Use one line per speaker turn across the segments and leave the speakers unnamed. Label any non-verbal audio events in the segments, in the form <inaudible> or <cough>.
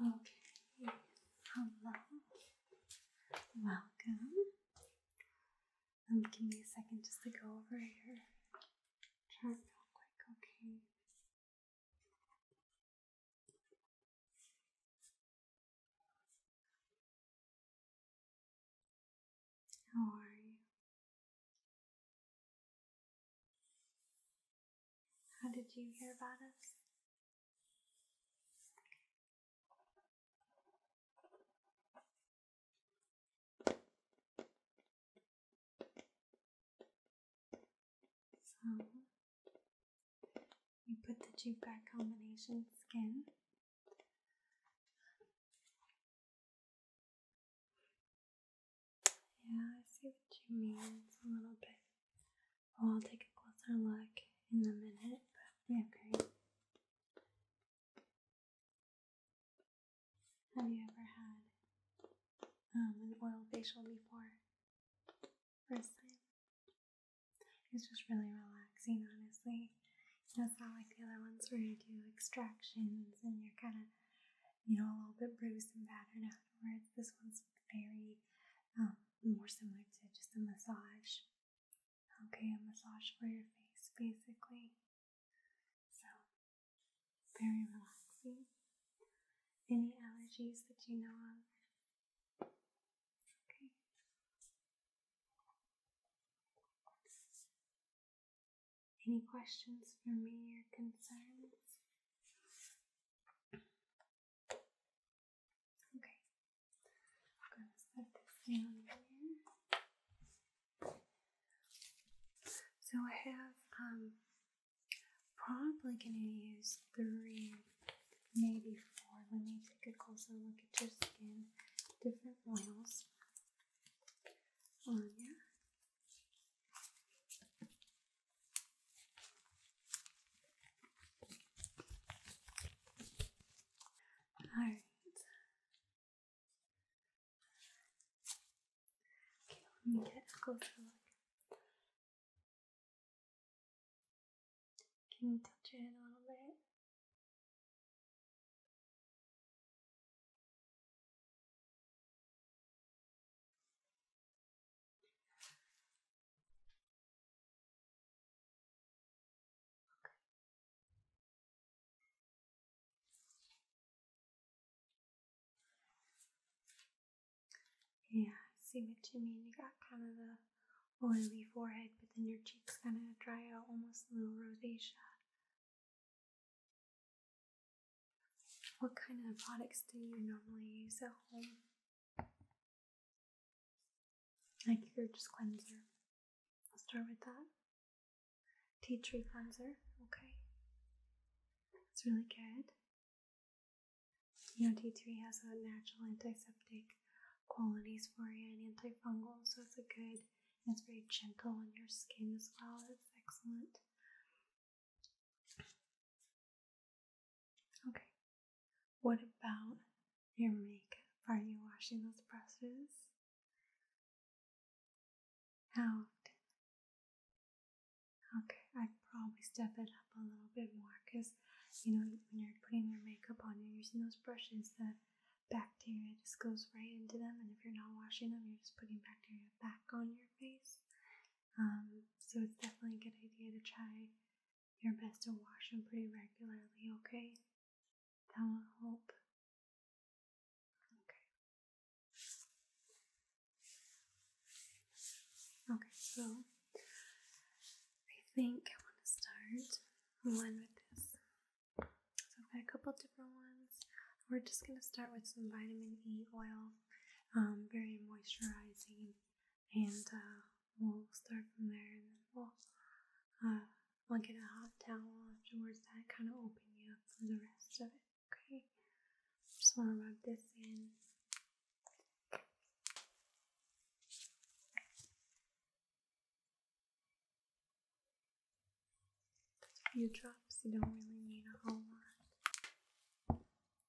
Okay, hello, welcome. Um, give me a second just to go over your
chart real quick, okay? How are you? How did you hear about us? So, you put the Jupiter combination skin yeah, I see what you mean. It's a little bit. Well, I'll take a closer
look in a minute, but okay. Have you ever had um, an oil facial before? First time? It's just really relaxing, honestly. It's not like the other ones where you do extractions and you're kind of, you know, a little bit bruised and battered afterwards. This one's very um, more similar to just a massage. Okay, a massage for your face basically. So, very relaxing. Any allergies that you know of? Okay. Any questions for me or concerns? Okay, I'm going to set this down here. So I have, um, probably going to use three, maybe four. Let me take a closer look at your skin. Different oils on you.
All right. Okay, let me get a closer look. Can you touch it a little bit? Yeah, see
what you mean. You got kind of the oily forehead, but then your cheeks kind of dry out, almost
a little rosacea. What kind of products do you normally use at home?
Like your just cleanser. I'll start with that. Tea tree cleanser, okay. That's really good. You know, tea tree has a natural antiseptic qualities for you and antifungal, so it's a good, it's very gentle on your skin as well. It's excellent. Okay.
What about your makeup? Are you washing those brushes? How often? Okay,
I'd probably step it up a little bit more because you know when you're putting your makeup on, you're using those brushes. The bacteria just goes right into them, and if you're not washing them, you're just putting bacteria back on your face. Um, so it's definitely a good idea to try your best to wash them pretty regularly, okay? That will
help. Okay. Okay, so I think I
want to start one with this. So I've got a couple different ones. We're just going to start with some vitamin E oil. Um, very moisturizing, and uh, we'll start from there, and then we'll uh, will get a hot towel afterwards that kind of open you up for the rest of it. Okay, just want to rub this in. a few drops. You don't really need a whole lot.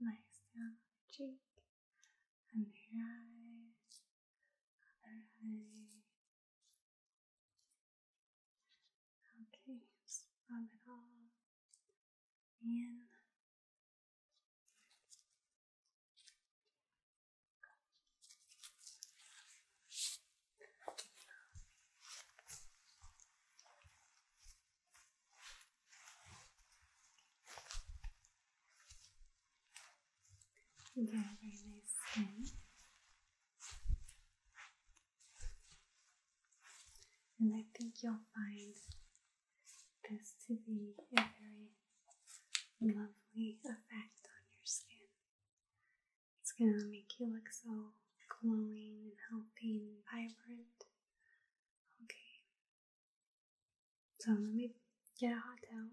Nice down on the cheek and the eyes. Alright. Okay, just rub it all in. Okay.
You got very nice skin. And I think you'll find this to be a very lovely effect on your skin. It's going to make you look so glowing and healthy and vibrant. Okay. So let me get a hot towel.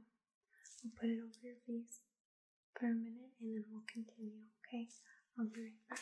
I'll put it over your face for a minute and then we'll continue,
okay? I'll be right back.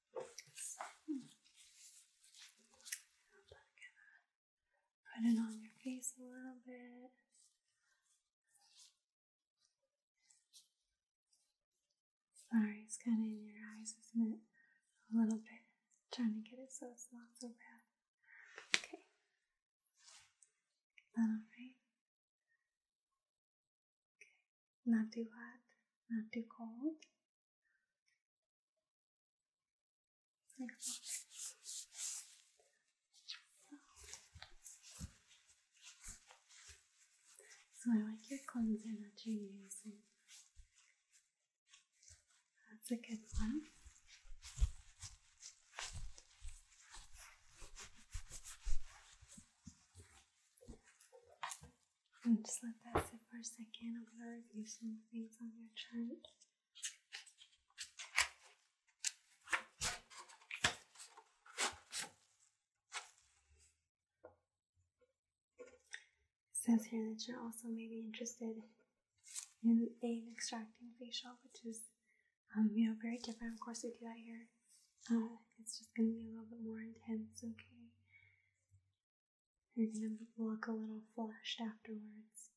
Put it on your face a little bit. Sorry, it's kind of in your eyes, isn't it? A little bit. trying to get it so it's not so bad. Okay. alright? Okay not too hot, not too cold. So I like your cleanser that you're using. That's a good one just let that sit for a second. I'm going to review some things on your chart. It says here that you're also maybe interested in an extracting facial, which is, um, you know, very different. Of course, we do that here. Uh, it's just going to be a little bit more intense, okay? You're going to look a little flushed afterwards.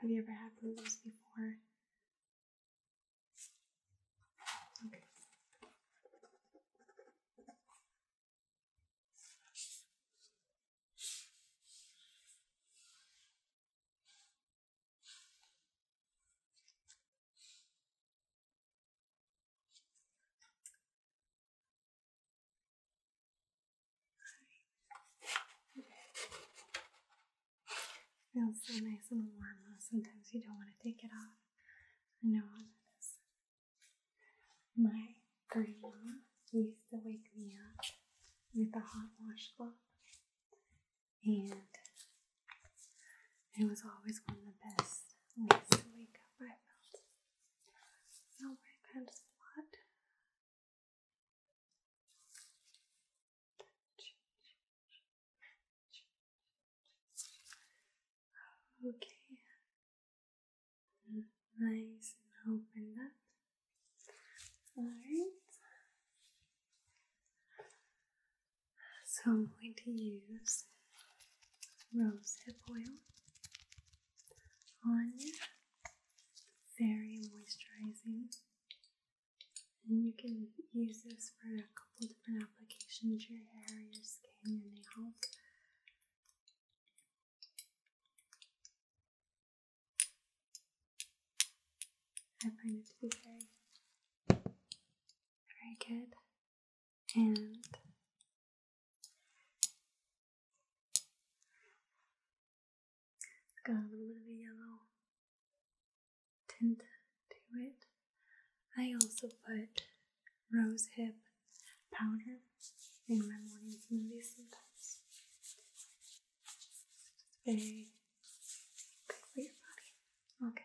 Have you ever had blues before? It feels so nice and warm. Sometimes you don't want to take it off. I know how that is. My grandma used to wake me up with a hot washcloth and it was always one of the best
ways to wake up, I felt. No work spot. Okay. Nice and opened up. Alright.
So I'm going to use rose hip oil on you. Very moisturizing. And you can use this for a couple different applications, your hair, your skin, your nails.
I find it to be very very good. And got a little bit of yellow
tint to it. I also put rose hip powder in my morning smoothies sometimes.
It's good for your body. Okay.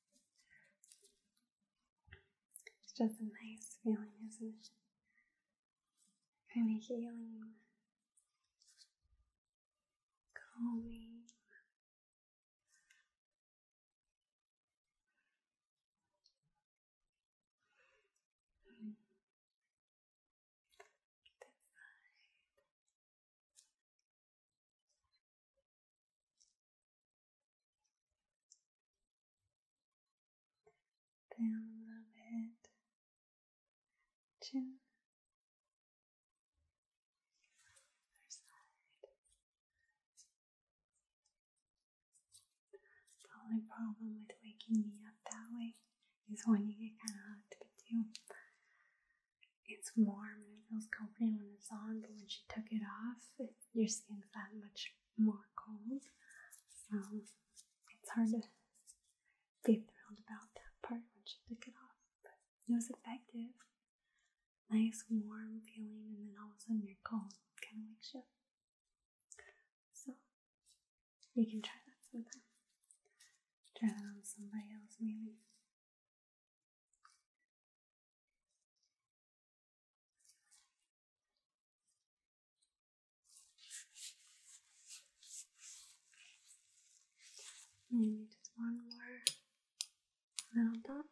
It's just a nice feeling, isn't it?
I'm healing, calming. Hmm down the head, chin, other side. The only problem with
waking me up that way is when you get kind of hot to you it's warm and it feels comforting when it's on, but when she took it off, your skin's that much more cold. So it's hard to be around about that part when she took it off. But it was effective. Nice warm feeling, and then all of a sudden you're cold. Kind of wakes you
So you can try that sometime. Try that on somebody else, maybe. And just one more little dot.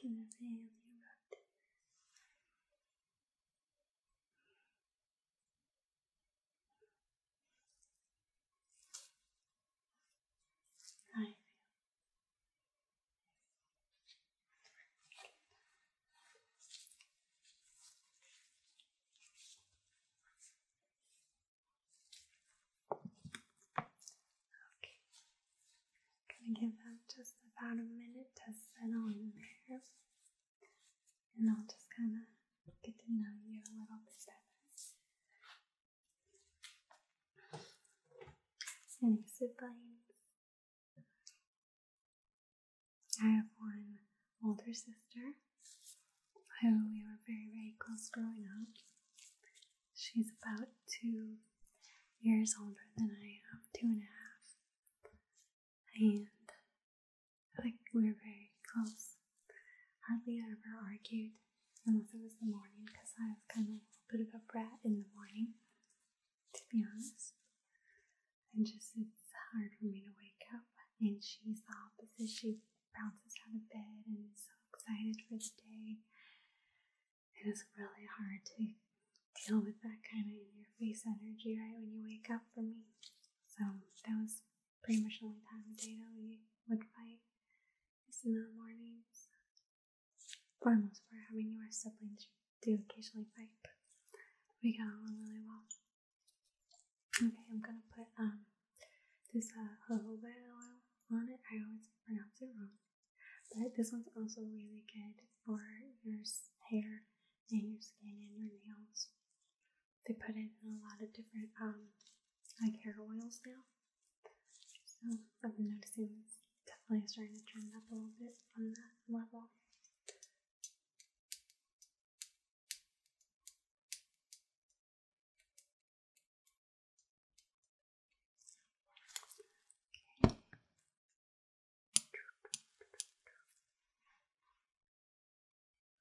Can you rub it. I feel
Okay. Gonna give that just about a minute to settle in there. And I'll just kind of get to know you a little bit better. Any siblings? I have one older sister who we were very, very close growing up. She's about two years older than I am, two and a half. And like we were very close. Hardly ever argued, unless it was the morning, because I was kind of a bit of a brat in the morning, to be honest and just it's hard for me to wake up. And she's opposite. She bounces out of bed and is so excited for the day. It is really hard to deal with that kind of in your face energy right when you wake up for me. So that was pretty much the only time of day that we would fight is in the mornings. For most for having your siblings do occasionally fight, but we got along really well. Okay, I'm gonna put um this uh, jojoba oil on it. I always pronounce it wrong, but this one's also really good for your hair and your skin and your nails. They put it in a lot of different um like hair oils now. So I've been noticing it's definitely starting
to trend up a little bit on that level. Okay.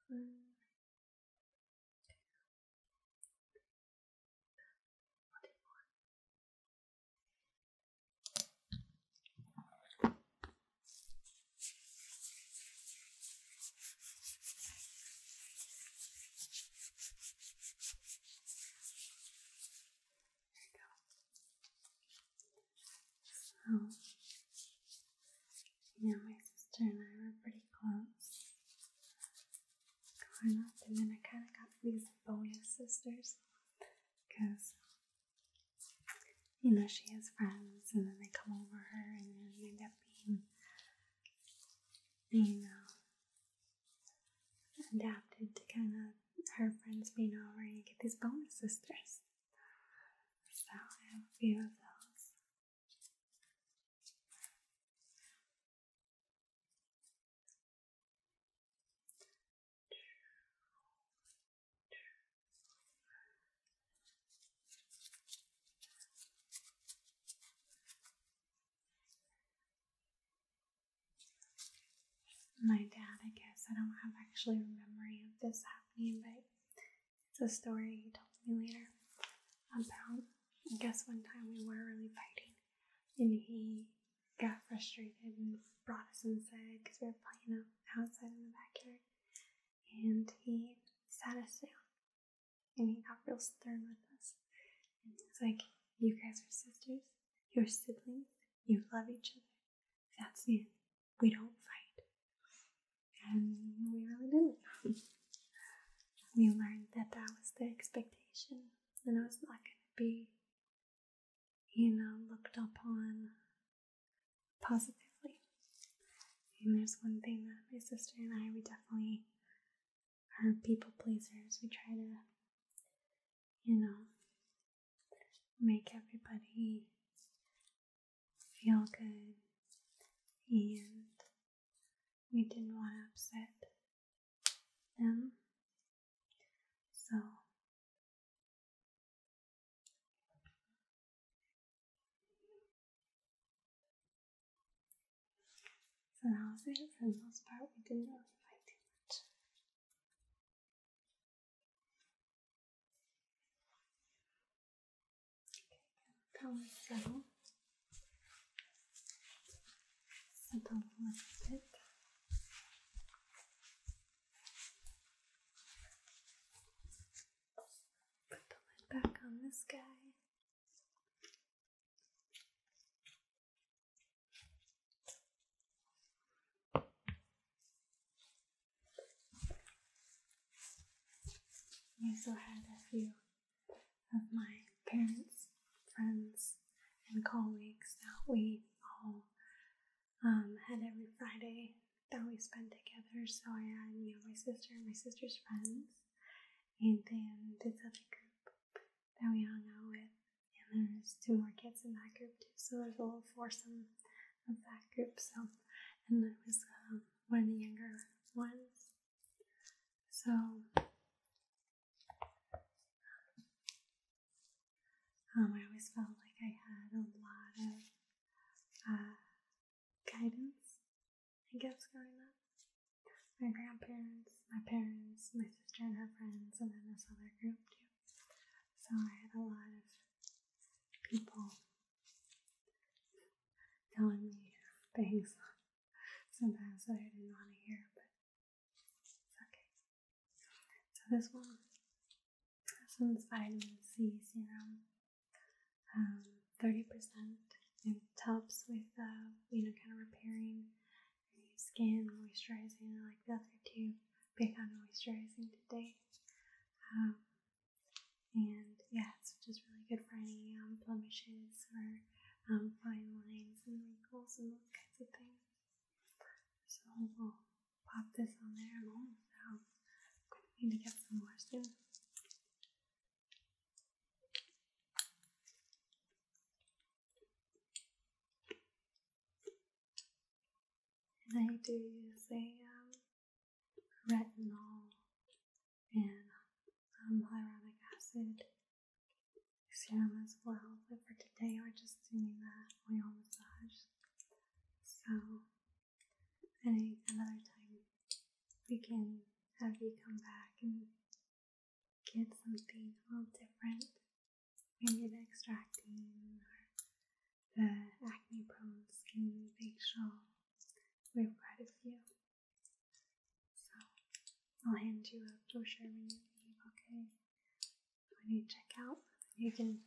One, two,
so, yeah,
my sister and I were pretty close growing up, and then I kind of got these bonus sisters because you know, she has friends and then they come over her and then they end up being, you know, adapted to kind of her friends being over you get these bonus sisters. So I have
a few of those.
My dad, I guess, I don't have actually a memory of this happening, but it's a story he told me later about. I guess one time we were really fighting, and he got frustrated and brought us inside because we were playing outside in the backyard. And he sat us down and he got real stern with us. And he like, You guys are sisters, you're siblings, you love each other. That's it. We don't fight. And we really didn't. we learned that that was the expectation and it was not going to be you know, looked up on positively. And there's one thing that my sister and I, we definitely are people pleasers. We try to, you know, make everybody feel good. And
we didn't want to upset them so so that was it for the most part. We didn't really fight too much. Okay, come settle. Settle a little bit.
Put the lid back on this guy. I also had a few of my parents, friends, and colleagues that we all um, had every Friday that we spent together. So I had, you know, my sister and my sister's friends, and then this other group that we all know with. And there's two more kids in that group too, so there's a little foursome of that group. So, and I was um, one of the younger ones. So, um, I always felt like I had a lot of uh, guidance, I guess, growing up. My grandparents, my parents, my sister and her friends, and then this other group too. So I had a lot of people telling me things <laughs> sometimes that I didn't want to hear, but Okay. So this one has some vitamin C serum, um, 30%. It helps with, uh, you know, kind of repairing your skin, moisturizing like the other two. Big on moisturizing today. Um, and yeah, it's just really good for any um, blemishes or um, fine lines and wrinkles and all kinds of things. So we'll pop this on there and we it out. need to get some more soon. And I do use a um, retinol and um, hyaluronic acid serum as well. But for today, we're just doing that oil massage. So, any another time, we can have you come back and get something a little different. Maybe the extracting or the acne prone skin facial. We've got a few. So I'll hand you a brochure when you leave, okay? when you check out, you can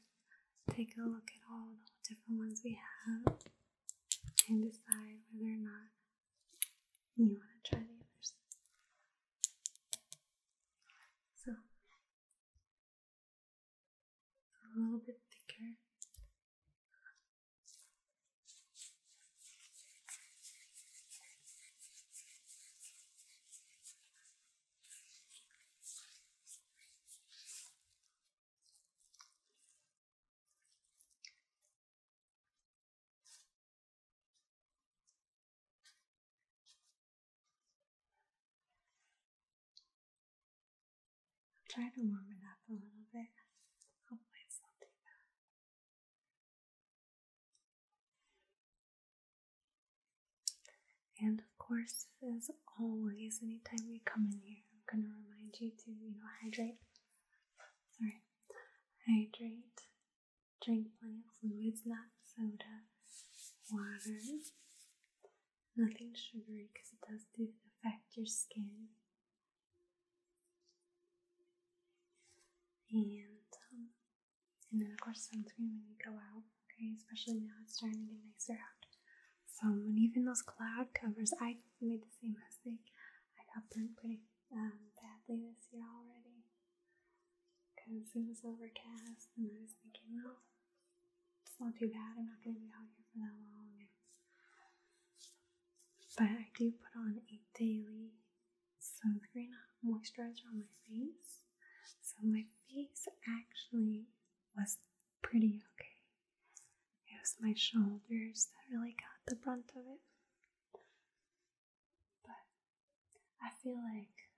take a look at all the different ones we have and decide whether or not
you want to try the others. So, a little bit thicker. I'm trying to warm it up a little bit. Hopefully, it's not too bad. And
of course, as always, anytime we come in here, I'm going to remind you to, you know, hydrate. All right, hydrate. Drink plenty of fluids, not soda, water, nothing sugary because it does do affect your skin. And um, and then, of course, sunscreen when you go out, okay? Especially now it's starting to get nicer out. So, and even those cloud covers, I made the same mistake. I got burnt pretty um, badly this year already because it was overcast, and I was making out. it's not too bad. I'm not going to be out here for that long. But I do put on a daily some green moisturizer on my face. So my face actually was pretty okay. It was my shoulders that really got the brunt of it. But I feel like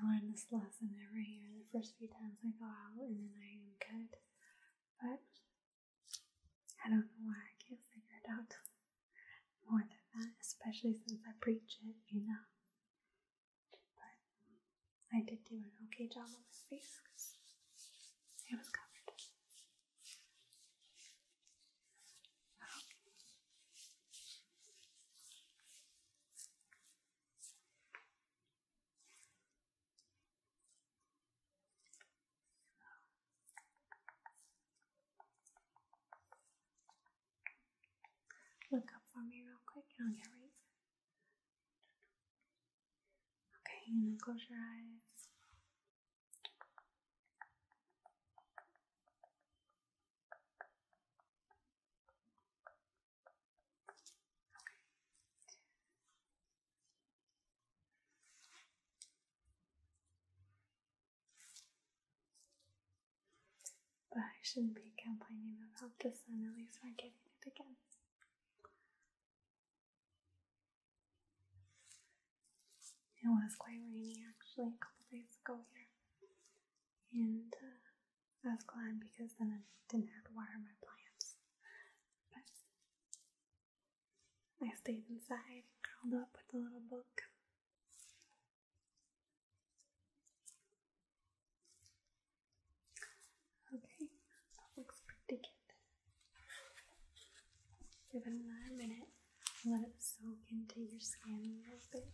I learn this lesson every year the first few times I go out and then I am good. But I don't know why I can't figure it out more than that, especially since I preach it, you know. But I did do an okay job on my face because it was covered. Look up for me real quick and I'll get right there. Okay, and then close your eyes. But I shouldn't be complaining about this. sun, at least we're getting it again. It was quite rainy actually a couple days ago here, and uh, I was glad because then I didn't have to water my plants. But I stayed inside, curled up with a little book, Okay, looks pretty good. Give it another minute. Let it soak into your skin a little bit.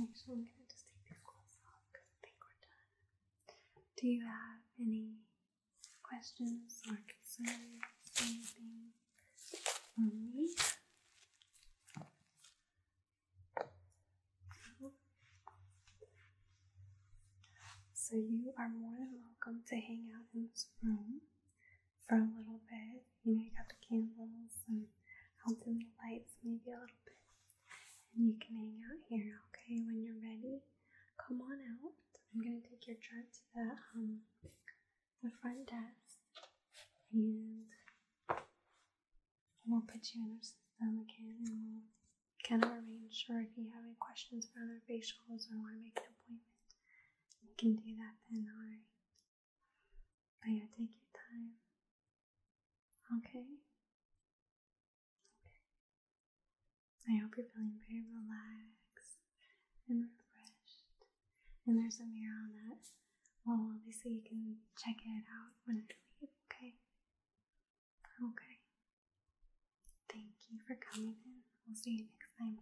Actually, I'm gonna just take these gloves off because I think we're done. Do you have any questions or concerns? Anything for me? So, you are more than welcome to hang out in this room for a little bit. You know, you got the candles, and I'll dim the lights maybe a little bit. And you can hang out here, okay? When you're ready, come on out. I'm gonna take your chart to the um the front desk, and we'll put you in our system again, and we'll kind of arrange. Or if you have any questions for other facials or want to make an appointment, you can do that then. All right. But yeah, take your time. Okay. I hope you're feeling very relaxed and refreshed. And there's a mirror on that wall, obviously, you can check it out
when you leave, okay? Okay. Thank you for coming We'll see you next time.